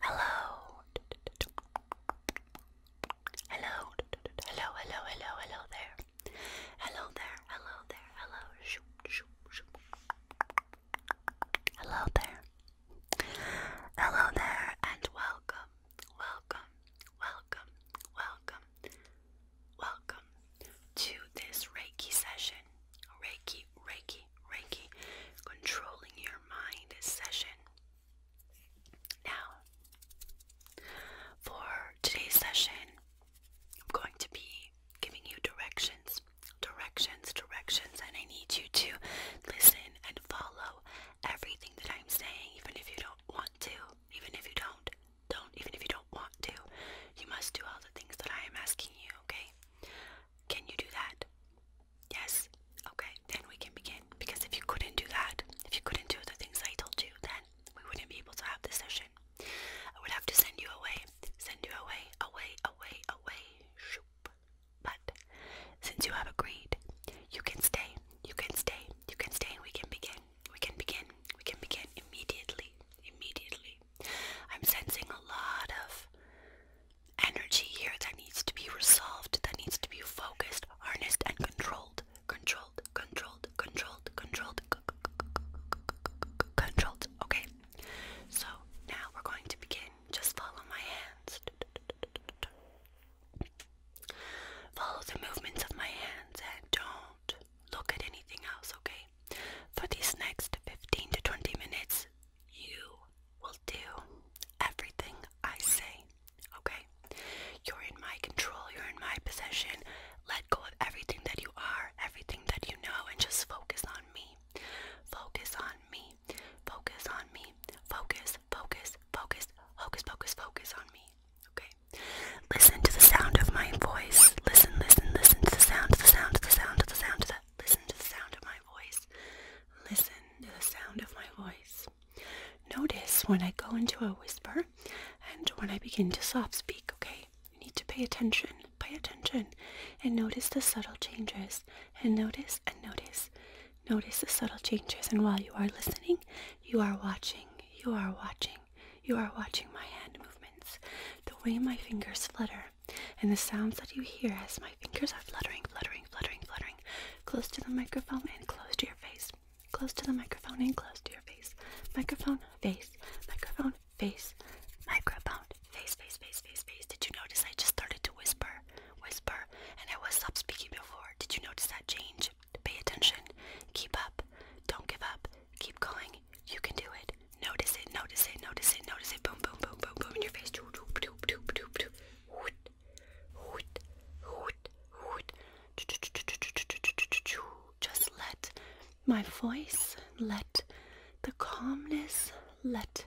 Hello. Hello. Hello, hello, hello, hello there. Hello there. Hello there. Hello. Hello there. Hello there and welcome, welcome, welcome, welcome, welcome to this Reiki session. Reiki, Reiki, Reiki, controlling your mind session. Now, for today's session, I'm going to be giving you directions, Directions directions, and I need you to listen and follow everything that I'm saying, even if you don't want to, even if you don't, don't, even if you don't want to. You must do all the things that I am asking you, okay? Can you do that? Yes? Okay, then we can begin. Because if you couldn't do that, if you couldn't do the things I told you, then we wouldn't be able to have this session. I would have to send you away. Send you away, away, away, away. Shoop. But since you have agreed, you can stay, you can stay, you can stay, and we can begin, we can begin, we can begin immediately, immediately. I'm sensing a lot of energy here that needs to be resolved, that needs to be focused, harnessed, and controlled. Controlled, controlled, controlled, controlled, controlled. Okay. So now we're going to begin just follow my hands. Follow the movements of my hands and don't look at anything else, okay? For these next 15 to 20 minutes, you will do everything I say, okay? You're in my control, you're in my possession. Let go of everything that you are, everything that you know, and just focus on me. Focus on me. Focus on me. Focus, focus, focus, focus, focus, focus on me. Okay? Listen to the sound of my voice. Listen, listen, listen to the sound, the sound, the sound, the sound, of the listen to the sound of my voice. Listen to the sound of my voice. Notice when I go into a whisper and when I begin to soft speak, okay? You need to pay attention. Pay attention and notice the subtle changes and notice and notice. Notice the subtle changes, and while you are listening, you are watching, you are watching, you are watching my hand movements, the way my fingers flutter, and the sounds that you hear as my fingers are fluttering, fluttering, fluttering, fluttering, close to the microphone and close to your face, close to the microphone and close to your face, microphone, face, microphone, face, microphone, Face, face, face, face, face. Did you notice I just started to whisper, whisper, and I was up speaking before? Did you notice that change? Pay attention. Keep up. Don't give up. Keep going. You can do it. Notice it, notice it, notice it, notice it. Boom, boom, boom, boom, boom in your face. Doop, doop, doop, doop, doop, doop. Hoot, hoot, hoot, hoot. Just let my voice, let the calmness, let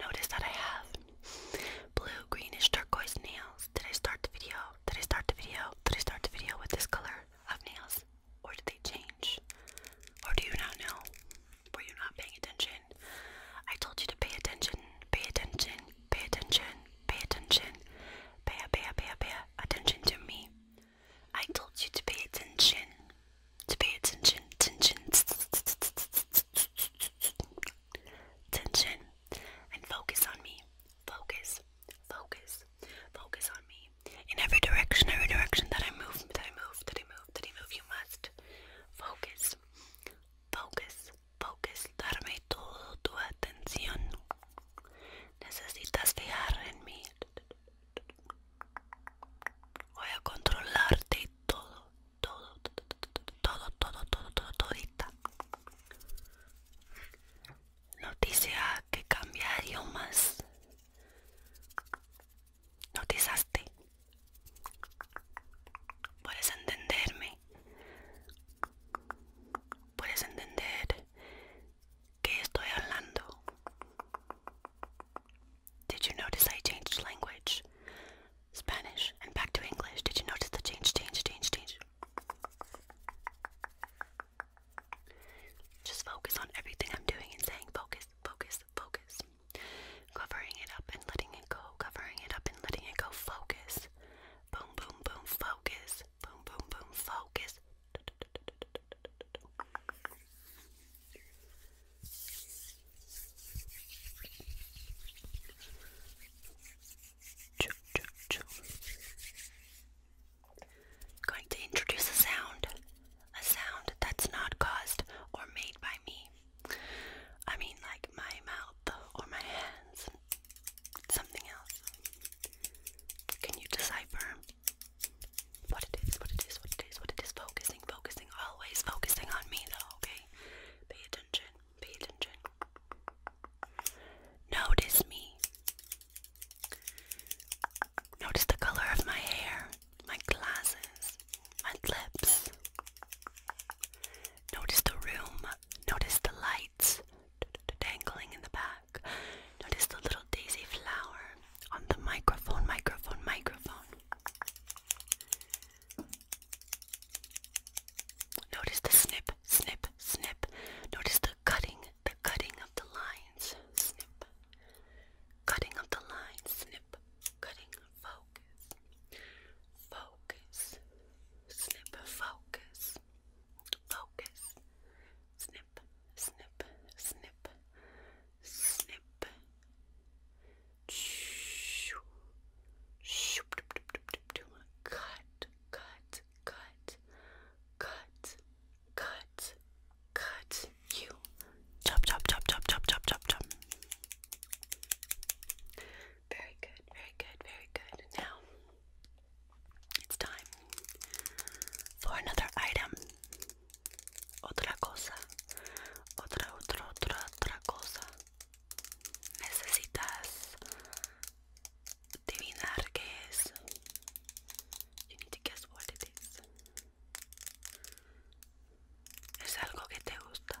Notice that I have blue, greenish, turquoise nails. Did I start the video? Did I start the video? Did I start the video with this color of nails? Or did they change? Or do you not know? Were you not paying attention? I told you to pay attention, pay attention, pay attention, Pay attention. Pay, pay, pay, pay attention to me. I told you to pay attention. To pay attention. Attention. Attention. And focus on me. Focus. Focus. Focus on me. In every direction, every direction that I move, that I move, that I move, that I move, you must focus. Focus. Focus, darme todo tu atención. Necesitas dejar en mí. Voy a controlarte todo, todo, todo, todo, todo, todo, todo, todita. Noticia que cambia idiomas. Notizaste. Puedes entenderme. puedes entender Did you notice I changed language? Spanish and back to English. Did you notice the change, change, change, change? Just focus on everything I'm doing and saying focus, focus, focus. Covering it up and letting it go. Covering it up and letting it go. Focus. Boom, boom, boom, focus. Boom, boom, boom, focus. Going to introduce a sound, a sound that's not caused or made by me. I mean, like my mouth or my hands something else. Can you decipher what it is, what it is, what it is, what it is? Focusing, focusing, always focusing on me though, okay? Pay attention, pay attention. Notice me. Notice the color of my hair, my glasses, my lips. Notice the room Notice the lights dangling in the back. Notice the little daisy flower on the microphone, microphone, microphone. Notice the snip, snip, snip. Notice the cutting, the cutting of the lines. Snip. Cutting of the lines, snip. Cutting, focus. Focus, snip, focus, focus, snip, snip, snip, snip. Shoo, shoo, cut, cut, cut, cut, cut, cut. You chop, chop, chop, chop, chop, chop, chop, chop. Very good, very good, very good. Now it's time for another item. Otra cosa. Otra, otra, otra, otra cosa. Necesitas adivinar qué es. You need to guess what it is. Es algo que te gusta.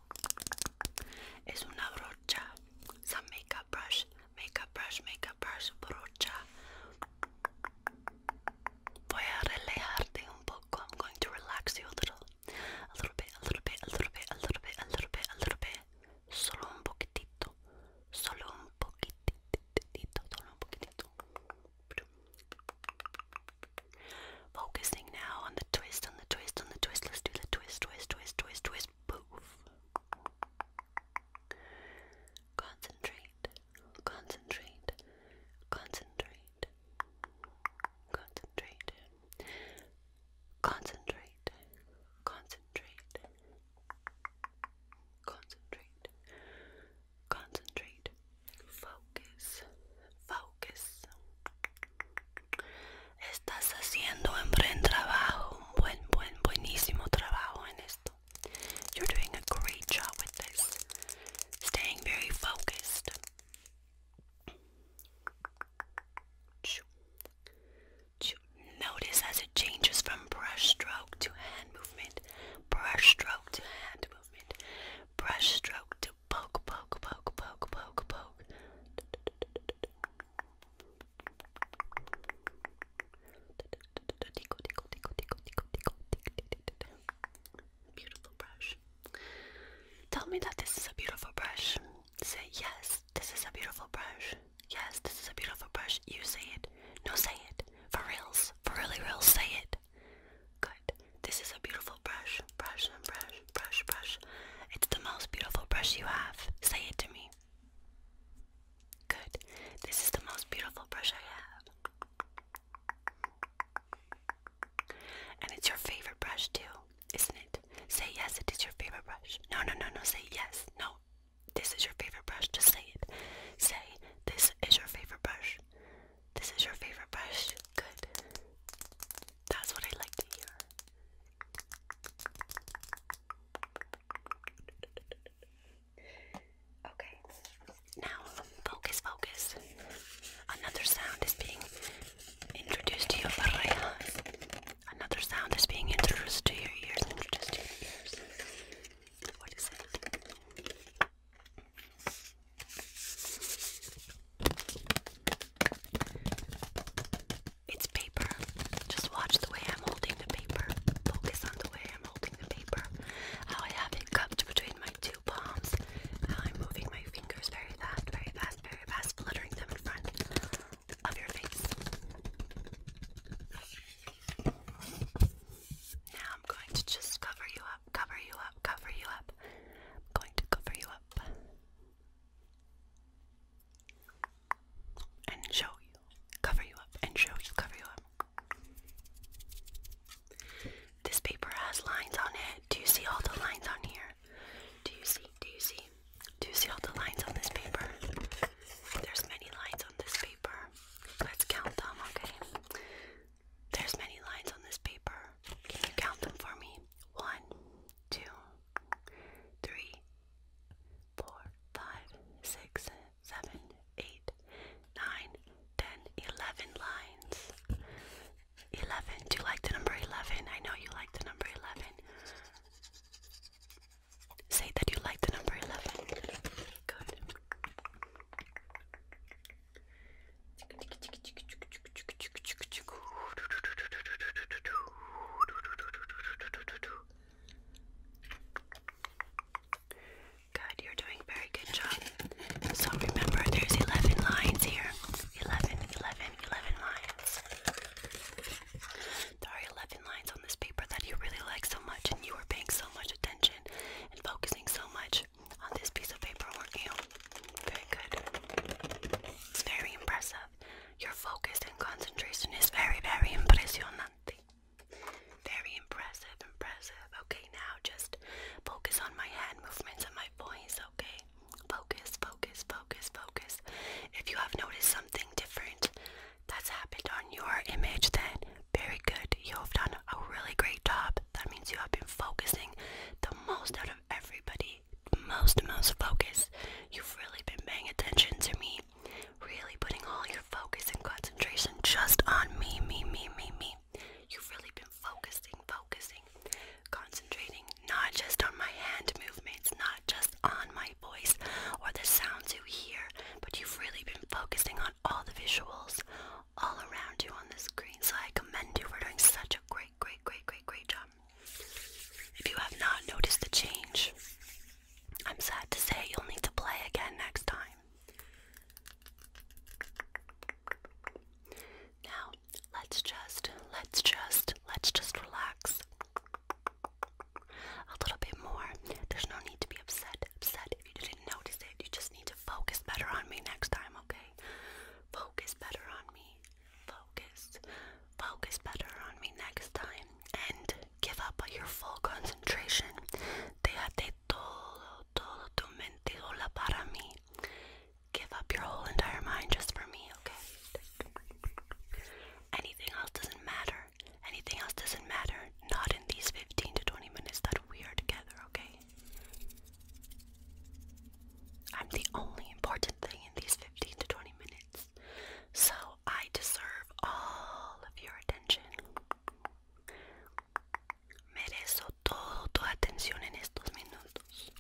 Es una brocha. It's a makeup brush. Makeup brush, makeup brush, brocha. Voy a relajarte un poco. I'm going to relax you a little. A little bit, a little bit, a little bit, a little bit, a little bit, a little bit. Solo un poquitito. Solo un poquitito. Solo un poquitito. Focusing now on the twist, on the twist, on the twist. Let's do the twist, twist, twist, twist, twist. Spoof. Concentrate, concentrate, concentrate, concentrate, concentrate, concentrate, concentrate, concentrate, focus, focus, Estás haciendo un buen trabajo, un buen, buen, buenísimo trabajo en esto. You're doing a great job with this. Staying very focused. Notice as it changes from brush stroke to hand movement, brush stroke to hand movement, brush stroke to poke, poke, poke, poke, poke, poke. Beautiful brush. Tell me that this is a beautiful brush. Say yes, this is a beautiful brush. Yes, this is a beautiful brush. You say it. No, say it. For reals. For really real, say it. Good. This is a beautiful brush. Brush and brush brush, brush. It's the most beautiful brush you have. Say it to me. Good. This is the most beautiful brush I have. And it's your favorite brush too, isn't it? Say yes, it is your favorite brush. No, no, no, no, say yes. No, this is your favorite brush. Just say it. Say, this is your favorite brush. This is your favorite brush. Good. That's what I like to hear. Okay, now focus, focus. Another sound is being introduced to your parejas. Another sound is being Introduced to your ears. What is it? It's paper. Just watch the way I'm holding the paper. Focus on the way I'm holding the paper. How I have it cupped between my two palms. How I'm moving my fingers very fast, very fast, very fast, fluttering them in front of your face. Now I'm going to just cover you up, cover you up, cover you up. I'm going to cover you up and show you, cover you up, and show you, cover you up. This paper has lines on it. Do you see all the lines on here? Do you see? Do you see? Do you see all the lines on this paper? There's many lines on this paper. Let's count them, okay? There's many lines on this paper. Can you count them for me? One, two, three, four, five, six, seven, eight, nine, ten, eleven lines. Eleven. Do you like the number eleven? I know you like the number eleven. Say that you like the number eleven. Good. Good, you're doing a very good job. So remember, there's 11 lines here. 11, lines. There are 11 lines on this paper that you really like so much, and you are paying so much attention and focusing so much on this piece of paper, were Very good. It's very impressive. Your focus and concentration is very, very impresionante. Very impressive, impressive. Okay, now just focus on my hand movements and my voice, okay? Focus, focus, focus, focus. If you have noticed something different that's happened on your image, then very good. You have done a really great job. That means you have been focusing the most out of everybody most most focus. You've really been paying attention to me, really putting all your focus and concentration just on me, me, me, me, me. You've really been focusing, focusing, concentrating not just on my hand movements, not just on my voice or the sounds you hear, but you've really been focusing on all the visuals, all around you on the screen. So I commend you for doing such a great, great, great, great, great job. If you have not noticed the change, I'm sad to say you'll need to play again next time. Now, let's just, let's just, let's just relax a little bit more. There's no need to be upset, upset if you didn't notice it. You just need to focus better on me next time, okay? Focus better on me. Focus. Focus better on me next time. And give up your full concentration. Déjate todo, todo tu mente sola para mí. Give up your whole entire mind just for me, okay? Anything else doesn't matter. Anything else doesn't matter. Not in these 15 to 20 minutes that we are together, okay? I'm the only important thing in these 15 to 20 minutes, so I deserve all of your attention. Merezco todo tu atención en estos minutos.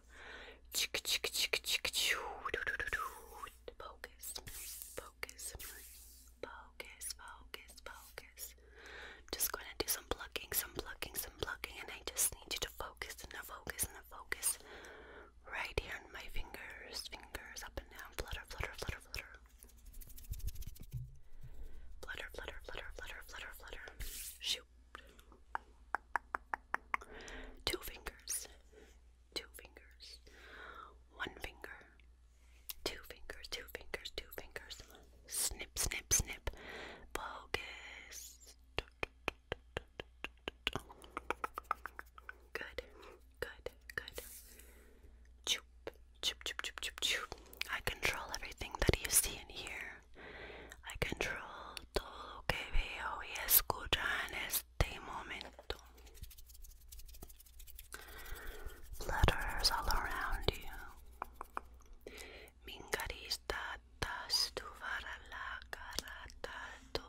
Focus, focus, focus, focus, focus. I'm just gonna do some plucking, some plucking, some plucking, and I just need you to focus and a focus and a focus right here on my fingers, fingers up and down, flutter, flutter, flutter, flutter. Flutter, flutter, flutter, flutter, flutter, flutter. Shoot. Two fingers, two fingers, one finger, two fingers, two fingers, two fingers. Snip, snip, snip. Focus. Good, good, good. Choop, choop, choop, choop, choop, choop. I control everything that you see in here. I control todo lo que veo y escucho en este momento. Letters all around you. Mingarista tastuvara la karata tu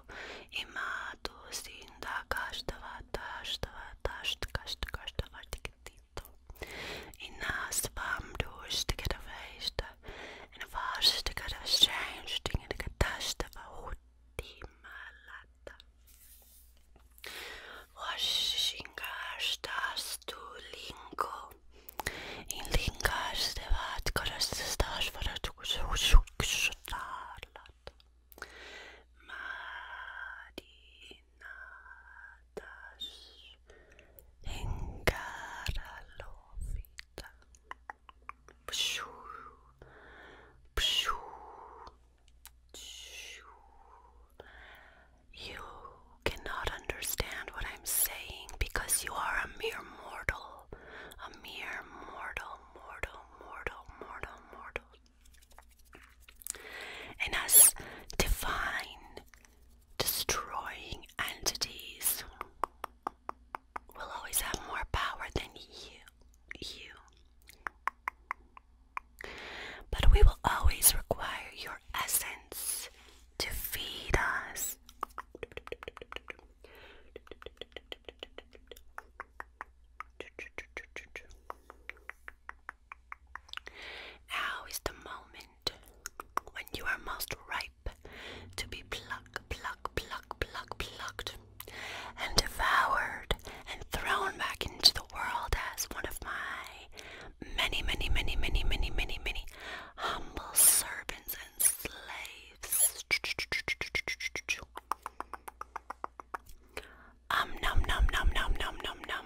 imatu sinda kastava tastava tast kast kastava tikitito. Inas vam dus tikita feista En waarstukken de verschijnsdingen, de gedachten van die malata. Washingars das tu linko. In lingars de wat korastes das voor het zoeksutarlat. Marina das Engaralofita. Pshoo. Pshoo. You cannot understand what I'm saying because you are a mere mortal. A mere mortal, mortal, mortal, mortal, mortal. And as divine destroying entities will always have more power than you. You. But we will always require your essence to feed us. Now is the moment when you are most ripe to be plucked, plucked, plucked, plucked, plucked, and devoured and thrown back into the world as one of my many, many, many, many, many, many, many humble servants and slaves. Um, num, num, num, num, num, num, num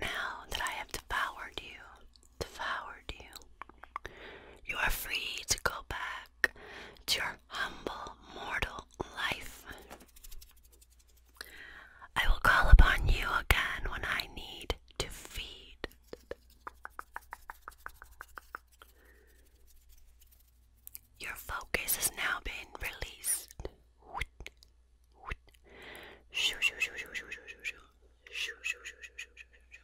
Now that I have devoured you, devoured you, you are free to go back to your humble mortal life. I will call upon you again when I need to feed. Your focus has now been released. Shoo shoo shoo shoo shoo shoo shoo shoo. Shoo shoo shoo shoo shoo shoo shoo.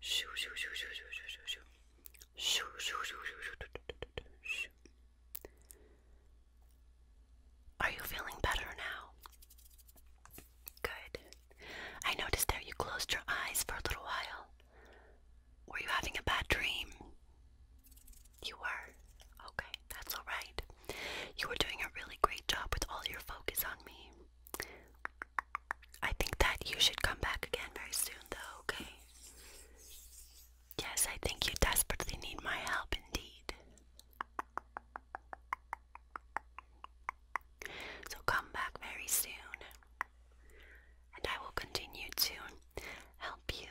Shoo shoo shoo shoo shoo shoo shoo shoo. Shoo shoo shoo shoo shoo shoo. Are you feeling better now? Good. I noticed there you closed your eyes for a little while. Were you having a bad dream? You were? Okay, that's alright. You were doing a really great job with all your focus on me. I think that you should come back again very soon, though, okay? Yes, I think you desperately need my help indeed. So come back very soon, and I will continue to help you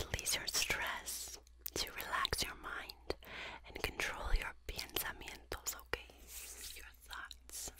release your stress, to relax your mind, and control your pensamientos, okay? Your thoughts.